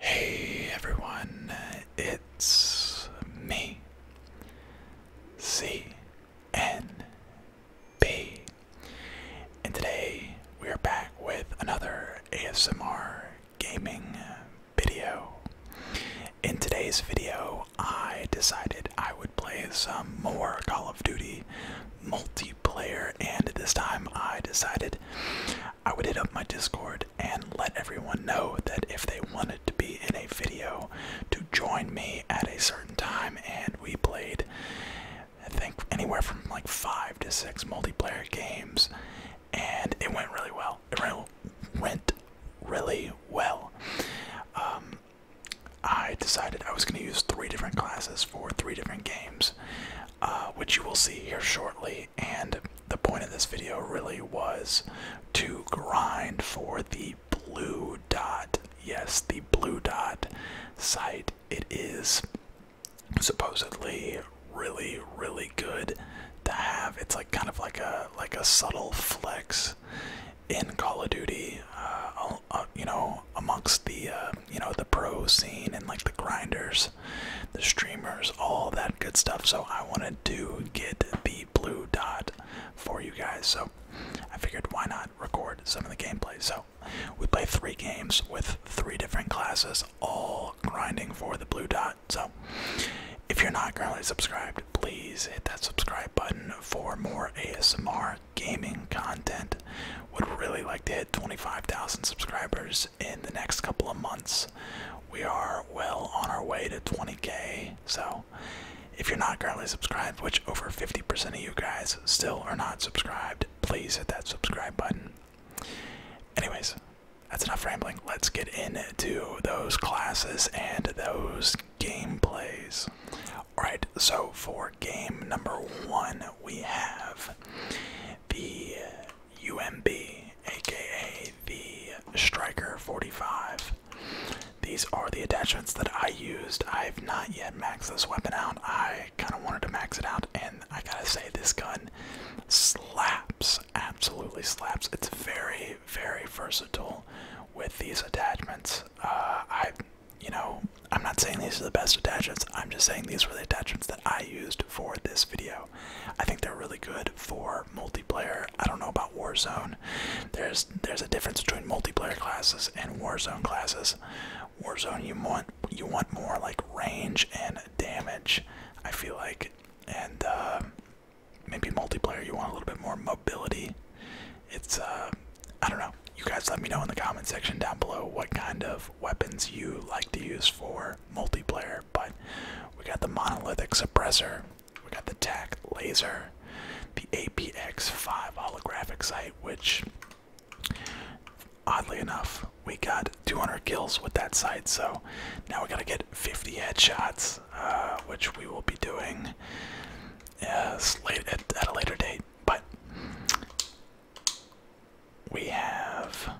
Hey everyone, it's me, CNB, and today we are back with another ASMR gaming video. In today's video, I decided I would play some more Call of Duty multiplayer, and this time I decided I would hit up my Discord and let everyone know that if they wanted to be in a video, to join me at a certain time, and we played, I think, anywhere from like five to six multiplayer games, and it went really well. It went really well. Um, I decided I was going to use three different classes for three different games, uh, which you will see here shortly. And the point of this video really was to grind for the blue dot. Yes, the blue dot site. It is supposedly really, really good to have. It's like kind of like a like a subtle flex in Call of Duty, uh, uh, uh, you know, amongst the you know the pro scene and like the grinders, the streamers, all that good stuff. So I wanted to get the blue dot for you guys. So I figured why not record some of the gameplay. So we play three games with three different classes, all grinding for the blue dot. So if you're not currently subscribed, please hit that subscribe button for more ASMR gaming content. Would really like to hit 25,000 subscribers in the next couple of months. We are well on our way to 20k. So, if you're not currently subscribed, which over 50% of you guys still are not subscribed, please hit that subscribe button. Anyways, that's enough rambling. Let's get into those classes and those gameplays. Alright, so for game number one, we have the UMB, aka the Striker 45. These are the attachments that I used. I've not yet maxed this weapon out. I kind of wanted to max it out, and I gotta say, this gun slaps. Absolutely slaps. It's very, very versatile with these attachments. Uh, I you know, I'm not saying these are the best attachments, I'm just saying these were the attachments that I used for this video. I think they're really good for multiplayer. I don't know about Warzone. There's there's a difference between multiplayer classes and Warzone classes. Warzone you want you want more like range and damage, I feel like. And uh, maybe multiplayer you want a little bit more mobility it's uh, I don't know. You guys let me know in the comment section down below what kind of weapons you like to use for multiplayer. But we got the monolithic suppressor, we got the TAC laser, the APX5 holographic sight, which oddly enough we got 200 kills with that sight. So now we gotta get 50 headshots, uh, which we will be doing uh, late at, at a later date. But we have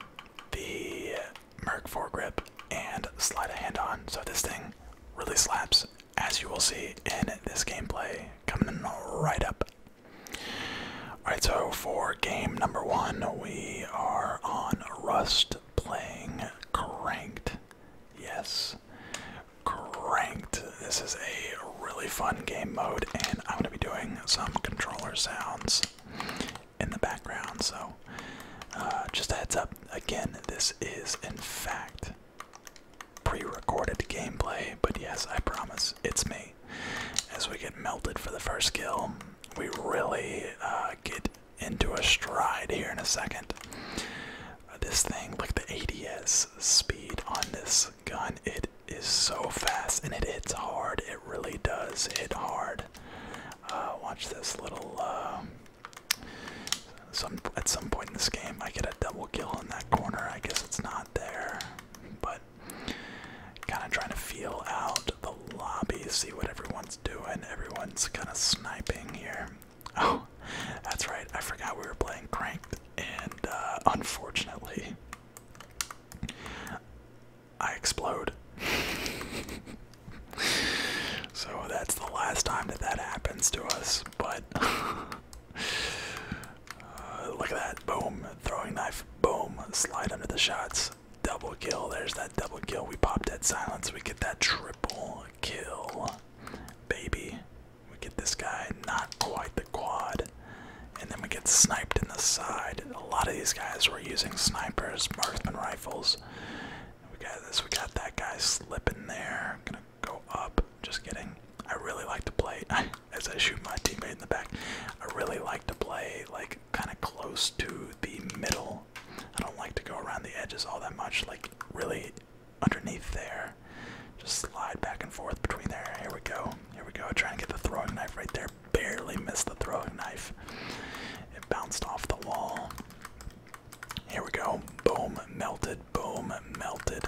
the Merc foregrip and slide a hand on. So this thing really slaps, as you will see in this gameplay coming right up. Alright, so for game number one, we are on Rust playing Cranked. Yes, cranked. This is a really fun game mode, and I'm gonna be doing some controller sounds in the background. So, uh, just a heads up. Again, this is in fact pre-recorded gameplay, but yes, I promise it's me. As we get melted for the first kill, we really uh, get into a stride here in a second this thing, like the ADS speed on this gun, it is so fast and it hits hard. It really does hit hard. Uh, watch this little. Uh, some at some point in this game, I get a double kill in that corner. I guess it's not there, but kind of trying to feel out the lobby, see what everyone's doing. Everyone's kind of sniping here. Oh, that's right. I forgot we were playing Crank and uh, unfortunately, I explode. so that's the last time that that happens to us, but uh, look at that. Boom. Throwing knife. Boom. Slide under the shots. Double kill. There's that double kill. We pop dead silence. We get that triple kill. Baby. We get this guy, not quite the quad. And then we get sniped in the side. A lot of these guys were using snipers, marksman rifles. We got this, we got that guy slipping there. Gonna go up. Just kidding. I really like to play as I shoot my teammate in the back. I really like to play like kinda close to the middle. I don't like to go around the edges all that much. Like really underneath there. Just slide back and forth between there. Here we go. Here we go. Trying to get the throwing knife right there. Barely missed the throwing knife. It bounced off the wall. Here we go. Boom. Melted. Boom. Melted.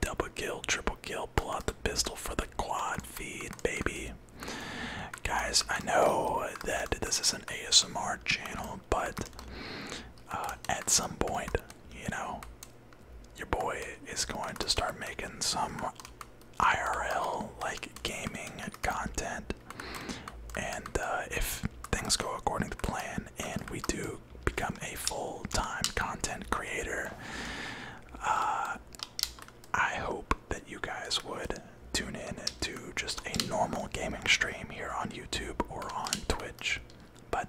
Double kill. Triple kill. Pull out the pistol for the quad feed, baby. Guys, I know that this is an ASMR channel, but uh, at some point, you know, your boy is going to start making some IRL like gaming content. And uh, if things go according to plan and we do become a full time content creator, uh, I hope that you guys would tune in to just a normal gaming stream here on YouTube or on Twitch. But,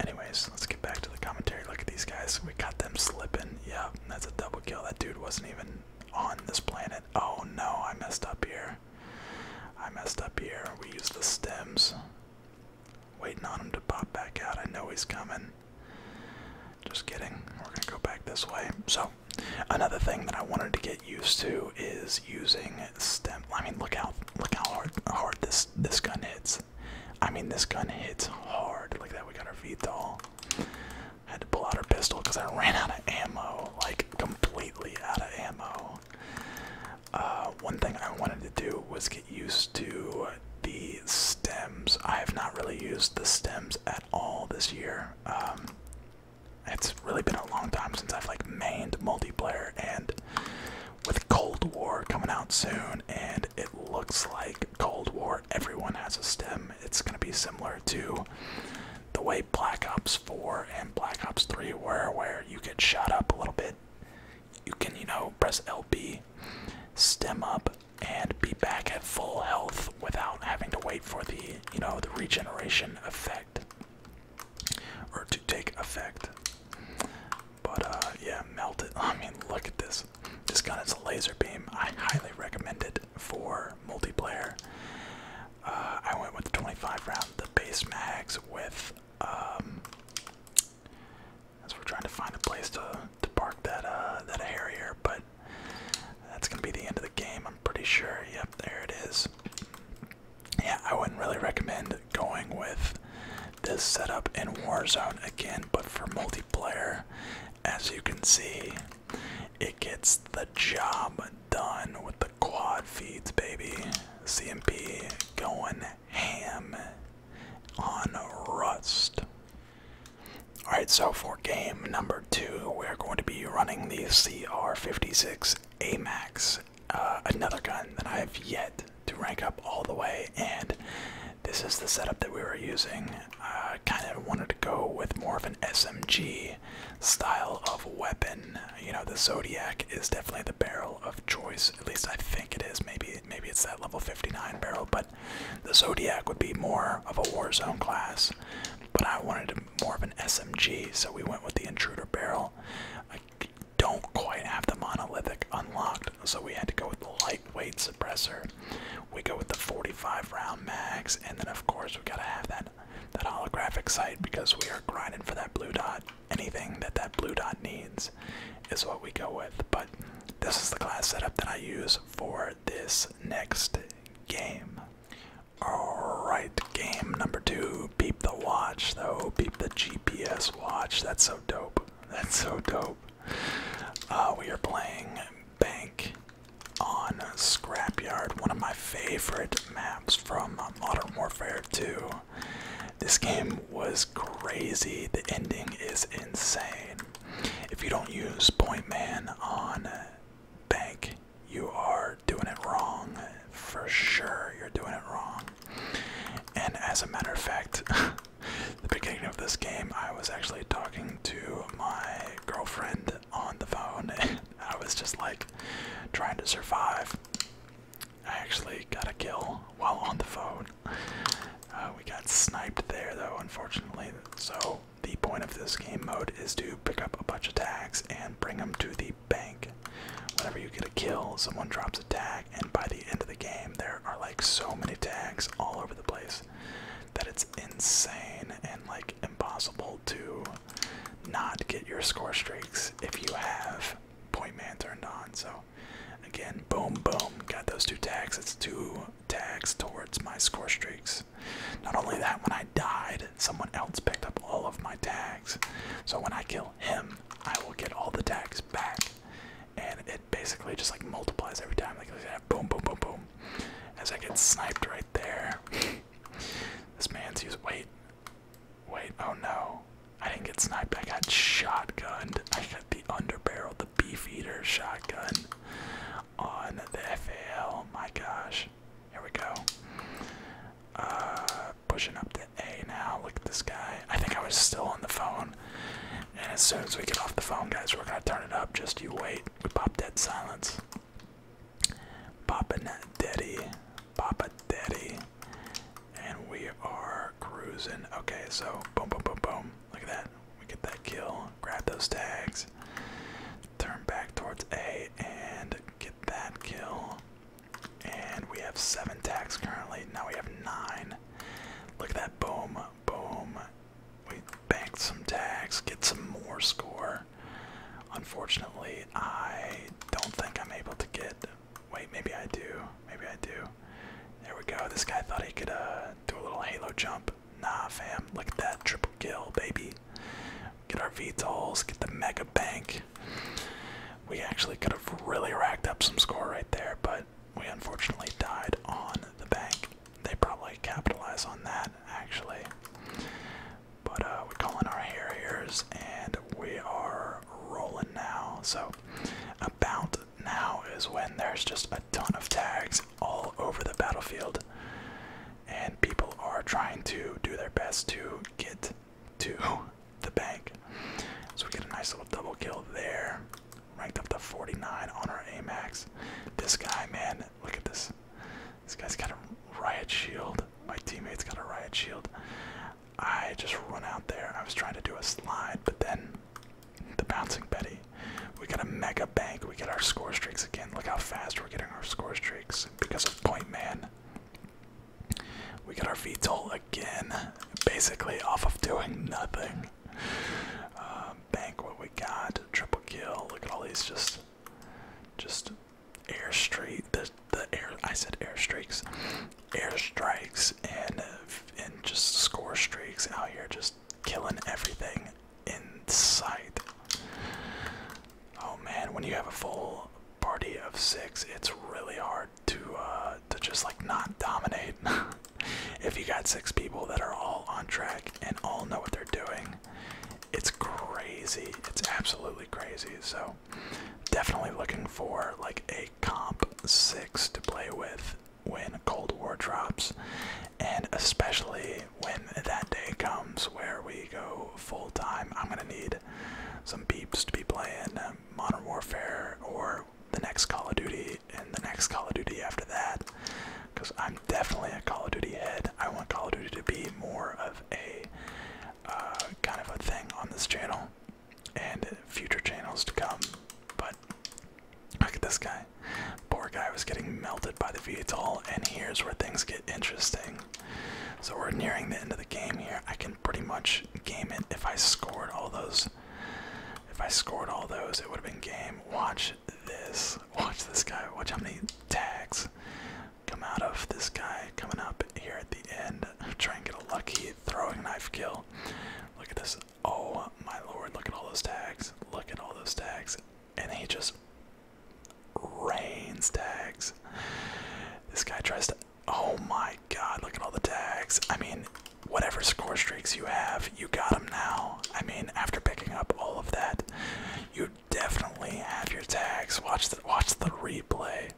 anyways, let's get back to the commentary. Look at these guys. We got them slipping. Yeah, that's a double kill. That dude wasn't even on this planet. Oh no, I messed up here. I messed up here. We use the stems. Waiting on him to pop back out. I know he's coming. Just kidding. We're gonna go back this way. So, another thing that I wanted to get used to is using stem. I mean, look how look how hard hard this this gun hits. I mean, this gun hits hard. Like that, we got our feet VTOL. Had to pull out our pistol because I ran out of ammo, like completely out of ammo. Uh, one thing I wanted to do was get used to the stems. I have not really used the stems at all this year. Um, it's really been a long time since I've like mained multiplayer, and with Cold War coming out soon, and it looks like Cold War, everyone has a stem. It's going to be similar to the way Black Ops 4 and Black Ops 3 were, where you get shot up a little bit. You can, you know, press LB, stem up, and be back at full health without having to wait for the, you know, the regeneration effect or to take effect. But uh, yeah, melt it. I mean, look at this. This gun is a laser beam. I highly recommend it for multiplayer. Uh, I went with the 25 round, the base mags with. Um, as we're trying to find a place to to park that uh, that Harrier, but that's gonna be the end of the game. I'm pretty sure. Yep, there it is. Yeah, I wouldn't really recommend going with this setup in Warzone again, but for multiplayer. As you can see, it gets the job done with the quad feeds, baby. CMP going ham on Rust. Alright, so for game number two, we're going to be running the CR56 AMAX, uh, another gun that I have yet to rank up all the way, and this is the setup that we were using. I kind of wanted to go with more of an SMG style of weapon. You know, the Zodiac is definitely the barrel of choice. At least I think it is. Maybe maybe it's that level 59 barrel, but the Zodiac would be more of a Warzone class. But I wanted more of an SMG, so we went with the Intruder barrel. I don't quite have the monolithic unlocked so we had to go with the lightweight suppressor. We go with the 45 round mags, and then of course we gotta have that that holographic sight because we are grinding for that blue dot. Anything that that blue dot needs is what we go with. But this is the class setup that I use for this next game. Alright, game number two. Beep the watch though. Beep the GPS watch. That's so dope. That's so dope. Uh, we are playing Bank on Scrapyard, one of my favorite maps from Modern Warfare 2. This game was crazy. The ending is insane. If you don't use Point Man on Bank, you are doing it wrong. For sure, you're doing it wrong. And as a matter of fact, the beginning of this game, I was actually talking to my girlfriend on the phone, I was just like trying to survive. I actually got a kill while on the phone. Uh, we got sniped there, though, unfortunately. So, the point of this game mode is to pick up a bunch of tags and bring them to the bank. Whenever you get a kill, someone drops a tag, and by the end of the game, there are like so many tags all over the place that it's insane and like impossible to not get your score streaks if you have point man turned on. So again, boom, boom, got those two tags. It's two tags towards my score streaks. Not only that, when I died, someone else picked up all of my tags. So when I kill him, I will get all the tags back and it basically just like multiplies every time. Like boom, boom, boom, boom. As I get sniped right there. this man's using wait, wait. Oh no, I didn't get sniped. I got shotgunned. I got the underbarrel, the beef eater shotgun on the FAL. My gosh. Here we go. Uh, pushing up to A now. Look at this guy. I think I was still on the phone. And as soon as we get off the phone, guys, we're gonna turn it up. Just you wait. We pop dead silence. Poppin' daddy, papa daddy, and we are cruising. Okay, so boom, boom, boom, boom. Look at that. We get that kill. Grab those tags. Turn back towards A and get that kill. And we have seven tags currently. Now we have nine. Look at that. Boom, boom, we banked some tags, get some more score. Unfortunately, I don't think I'm able to get. Wait, maybe I do. Maybe I do. There we go. This guy thought he could uh, do a little halo jump. Nah, fam. Look at that triple kill, baby. Get our VTOLs, get the mega bank. We actually could have really racked up some score right there, but we unfortunately died on the bank. They probably capitalize on that, actually. But uh, we call in our harriers, and we are rolling now. So about now is when there's just a ton of tags all over the battlefield, and people are trying to do their best to get to the bank. So we get a nice little double kill there ranked up to 49 on our Amax. This guy, man, look at this. This guy's got a riot shield. My teammate's got a riot shield. I just run out there. I was trying to do a slide, but then the bouncing Betty. We got a mega bank. We get our score streaks again. Look how fast we're getting our score streaks because of Point Man. We got our Veto again, basically off of doing nothing. Um, bank what we got. Triple kill. Look at all these just just airstreak the the air I said airstreaks. Airstrikes and and just score streaks out here just killing everything in sight. Oh man, when you have a full party of six, it's really hard to uh to just like not dominate. if you got six people that are all on track and all know what they're doing, it's crazy. It's absolutely crazy. So definitely looking for like a comp six to play with when Cold War drops, and especially when that day comes where we go full time. I'm gonna need some beeps to be playing Modern Warfare or the next Call of Duty Duty and the next Call of Duty after that, because I'm definitely a Call of Duty head. I want Call of Duty to be more of a uh, kind of a thing on this channel and future channels to come. But look at this guy. Poor guy was getting melted by the VTOL, and here's where things get interesting. So we're nearing the end of the game here. I can pretty much game it if I scored all those. If I scored all those, it would have been game. Watch watch this. Watch this guy. Watch how many tags come out of this guy coming up here at the end. Try and get a lucky throwing knife kill. Look at this. Oh my lord, look at all those tags. Look at all those tags. And he just rains tags. This guy tries to. Oh my god, look at all the tags. I mean, whatever score streaks you have, you got them now. I mean, after picking up all of that, you definitely have your tags. Watch the watch the replay.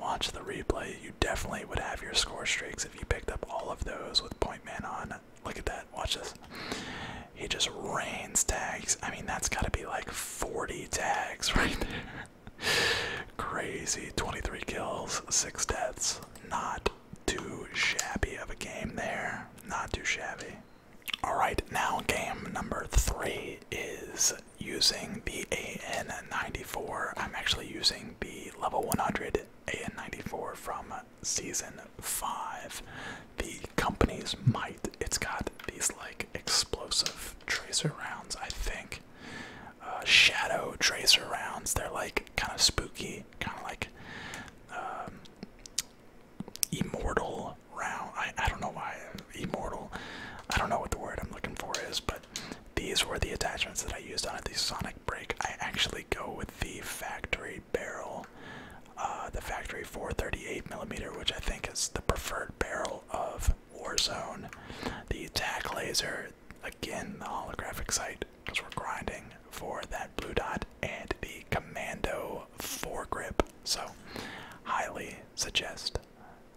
Watch the replay. You definitely would have your score streaks if you picked up all of those with point man on. Look at that. Watch this. He just rains tags. I mean, that's got to be like 40 tags right there. Crazy. 23 kills, 6 deaths. Not too shabby of a game there. Not too shabby. Alright, now game number three is using the AN94. I'm actually using the level 100 AN94 from season 5. The company's might. It's got these like explosive tracer rounds, I think. Uh, shadow tracer rounds. They're like kind of spooky kind of like um, immortal I, I don't know why immortal. I don't know what the word I'm looking for is, but these were the attachments that I used on it. The Sonic Break. I actually go with the factory barrel, uh, the factory 438 millimeter, which I think is the preferred barrel of Warzone. The attack laser, again, the holographic sight because we're grinding for that blue dot and the commando foregrip. So, highly suggest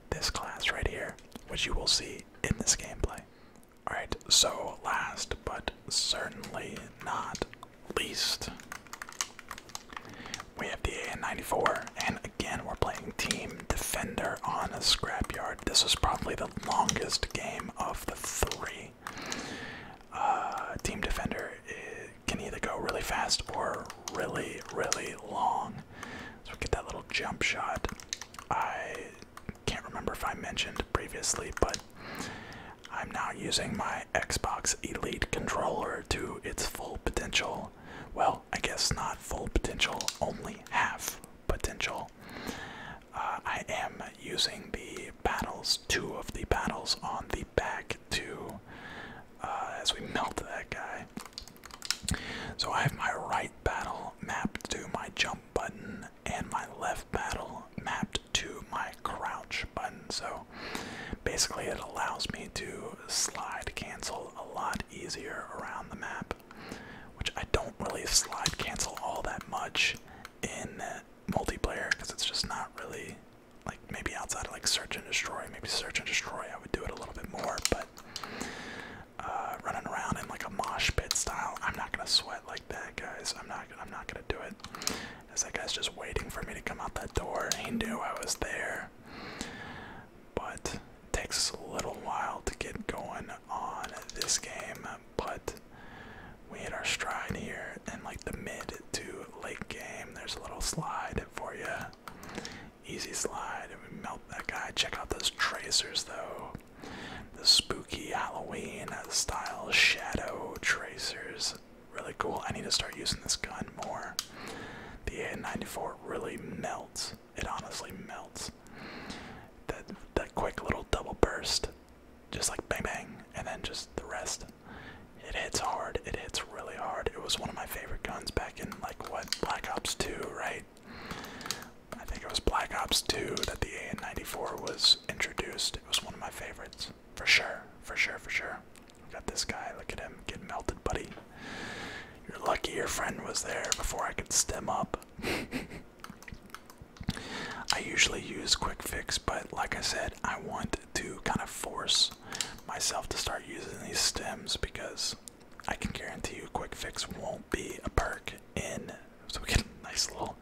this class right here, which you will see in this gameplay. Alright, so last but certainly not least, we have the AN94, and again, we're playing Team Defender on a scrapyard. This is probably the longest game of the three. Uh, team defender can either go really fast or really, really long. So we get that little jump shot. I can't remember if I mentioned previously, but I'm now using my Xbox Elite controller to its full potential. Well, I guess not full potential, only half potential. Uh, I am using the battles, two of the battles on the back two, uh, as we melt that guy. So I have my right battle mapped to my jump button and my left battle mapped to my crouch button. So basically it allows me to slide cancel a lot easier around the map, which I don't really slide cancel all that much in multiplayer because it's just not really like maybe outside of like search and destroy maybe search and destroy i would do it a little bit more but uh running around in like a mosh pit style i'm not gonna sweat like that guys i'm not i'm not gonna do it as that guy's just waiting for me to come out that door he knew i was there but takes us a little while to get going on this game but we hit our stride here in like the mid to late game. There's a little slide for you. Easy slide. We melt that guy. Check out those tracers though. The spooky Halloween style shadow tracers. Really cool. I need to start using this gun more. The A94 really melts. It honestly melts. That that quick little double burst just like bang bang, and then just the rest. It hits hard. It hits really hard. It was one of my favorite guns back in like what Black Ops 2, right? I think it was Black Ops 2 that the a 94 was introduced. It was one of my favorites for sure, for sure, for sure. got this guy. Look at him get melted, buddy. You're lucky your friend was there before I could stem up. I usually use Quick Fix, but like I said, I want to kind of force myself to start using these stems because I can guarantee you Quick Fix won't be a perk in. So we get a nice little,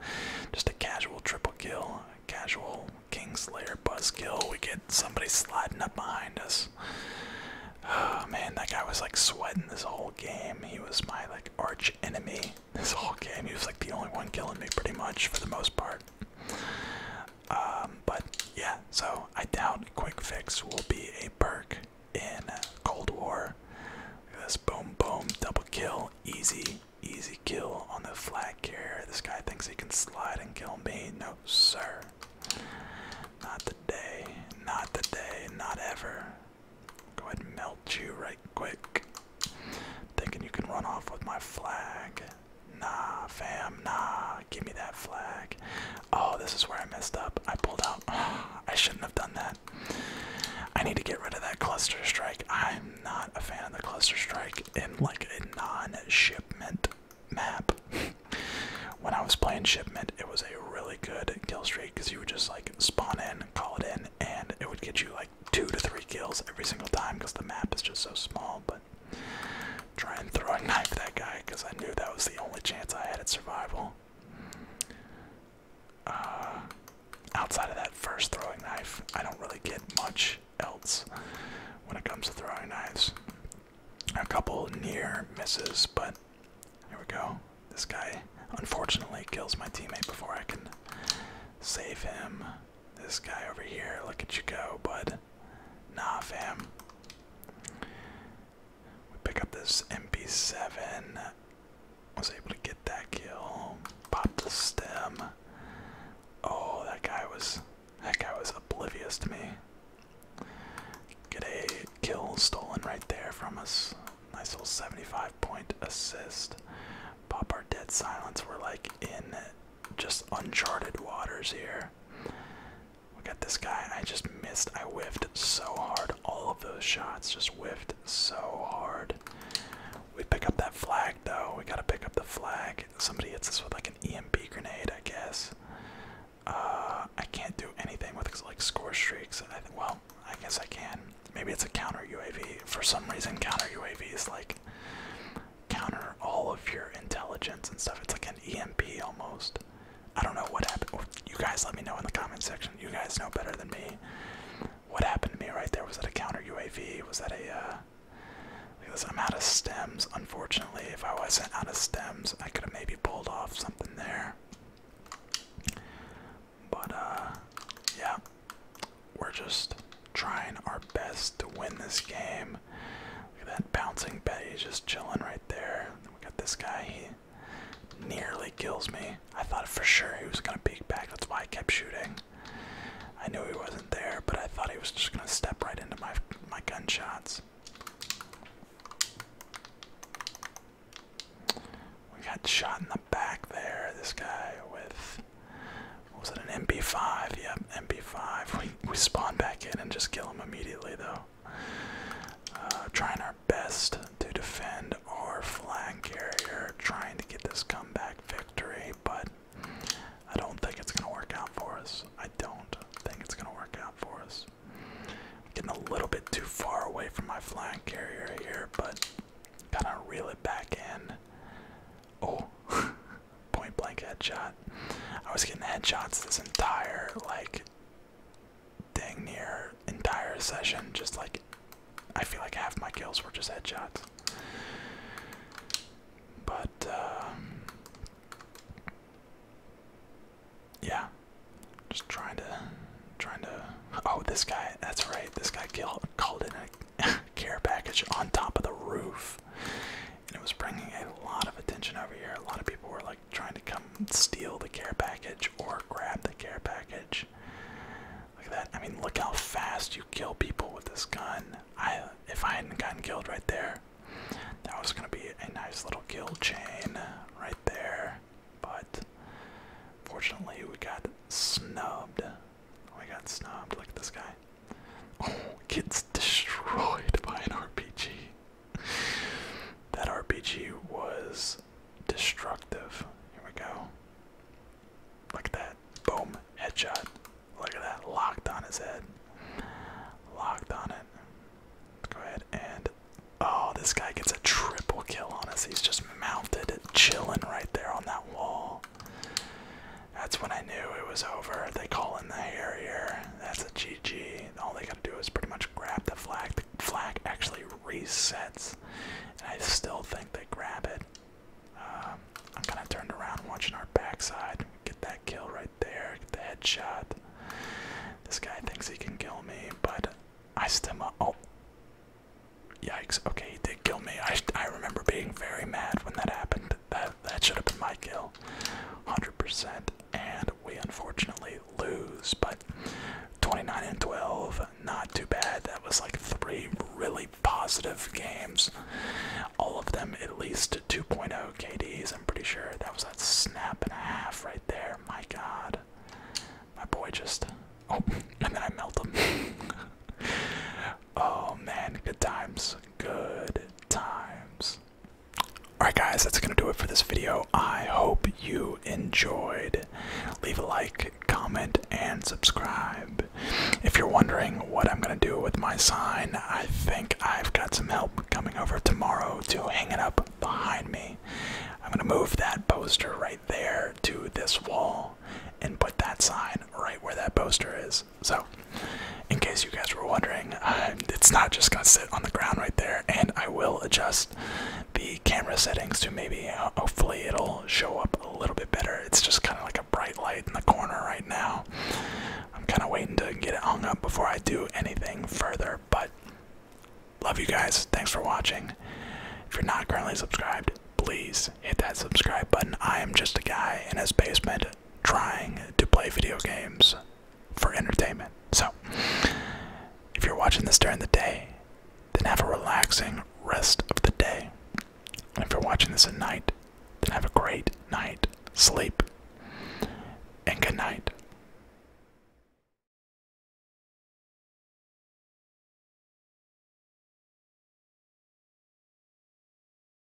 just a casual triple kill, casual Kingslayer buzz kill. We get somebody sliding up behind us. Oh man, that guy was like sweating this whole game. He was my like arch enemy this whole game. He was like the only one killing me pretty much for the most part. Um, but yeah, so I doubt Quick Fix will be a perk in Cold War. this boom, boom, double kill, easy, easy kill on the flag This guy thinks he can slide and kill me. No, sir. Not today, not today, not ever. Go ahead and melt you right quick. Thinking you can run off with my flag. Nah, fam, nah. Give me that flag. Oh, this is where I messed up. I pulled out. I shouldn't have done that. I need to get rid of that cluster strike. I'm not a fan of the cluster strike in like a non-shipment map. when I was playing shipment, it was a really good kill streak because you would just like spawn in, call it in, and it would get you like two to three kills every single time because the map is just so small. But try and throw a knife at that guy because I knew that was the only chance I had at survival. Uh, outside of that first throwing knife, I don't really get much else when it comes to throwing knives. A couple near misses, but here we go. This guy unfortunately kills my teammate before I can save him. This guy over here, look at you go, bud. Nah, fam. We pick up this MP7. Was able to get that kill. Pop the stem. Oh, that guy was that guy was oblivious to me. Get a kill stolen right there from us. Nice little 75 point assist. Pop our dead silence. We're like in just uncharted waters here. Look at this guy. I just missed. I whiffed so hard. All of those shots just whiffed so hard. We pick up that flag though. We gotta pick up the flag. Somebody hits us with like an EMP grenade, I guess. Uh, I can't do anything with like score streaks. I think, well, I guess I can. Maybe it's a counter UAV. For some reason, counter UAV is like counter all of your intelligence and stuff. It's like an EMP almost. I don't know what happened. You guys let me know in the comment section. You guys know better than me. What happened to me right there? Was that a counter UAV? Was that a? Uh, am out of stems. Unfortunately, if I wasn't out of stems, I could have maybe pulled off something there. But, uh, yeah, we're just trying our best to win this game. Look at that bouncing bet—he's just chilling right there. We got this guy, he nearly kills me. I thought for sure he was gonna peek back, that's why I kept shooting. I knew he wasn't there, but I thought he was just gonna step right into my my gunshots. We got shot in the back there, this guy with was it an mb 5 Yep, MP5. We we spawn back in and just kill him immediately though. Uh, trying our best to defend our flank carrier, trying to get this comeback victory, but I don't think it's gonna work out for us. I don't think it's gonna work out for us. getting a little bit too far away from my flag carrier here, but kind of reel it back in. Oh. point blank headshot. I was getting headshots this entire like thing near entire session. Just like I feel like half my kills were just headshots. But um, yeah, just trying to trying to. Oh, this guy. That's right. This guy killed, called in a care package on top of the roof. And it was bringing a lot of attention over here. A lot of people were like trying to come steal the care package or grab the care package. Look at that. I mean, look how fast you kill people with this gun. I if I hadn't gotten killed right there, that was gonna be a nice little kill chain right there. But fortunately, we got snubbed Oh, I got snubbed. Look at this guy. Oh, gets destroyed by an RPG. that RPG was destructive. Here we go. Look at that. Boom. Headshot. Look at that. Locked on his head. Locked on it. go ahead and. Oh, this guy gets a triple kill on us. He's just mounted, and chilling right there on that wall. That's when I knew it was over. They call in the Harrier. That's a GG. All they gotta do is pretty much grab the flag. The flag actually resets, and I still think they grab it. Um, I'm kind of turned around watching our backside. Get that kill right there. Get the headshot. This guy thinks he can kill me, but I stem up. Oh. Yikes. Okay, he did kill me. I, I remember being very mad when that happened. That that should have been my kill. 100%. And we unfortunately lose, but 29 and 12, not too bad. That was like three really positive games. All of them at least 2.0 KDs, I'm pretty sure. That was that snap and a half right there. My god. My boy just. Oh, and then I melt him. Oh man, good times. Good times. Alright, guys, that's going to do it for this video. I hope you enjoyed. Leave a like, comment, and subscribe. If you're wondering what I'm going to do with my sign, I think I've got some help coming over tomorrow to hang it up behind me. I'm going to move that poster right there to this wall and put that sign right where that poster is. So, in case you guys were wondering, uh, it's not just gonna sit on the ground right there, and I will adjust the camera settings to maybe, uh, hopefully, it'll show up a little bit better. It's just kind of like a bright light in the corner right now. I'm kind of waiting to get it hung up before I do anything further, but love you guys. Thanks for watching. If you're not currently subscribed, please hit that subscribe button. I am just a guy in his basement trying to play video games for entertainment. So, if you're watching this during the day, then have a relaxing rest of the day. if you're watching this at night, then have a great night, sleep, and good night.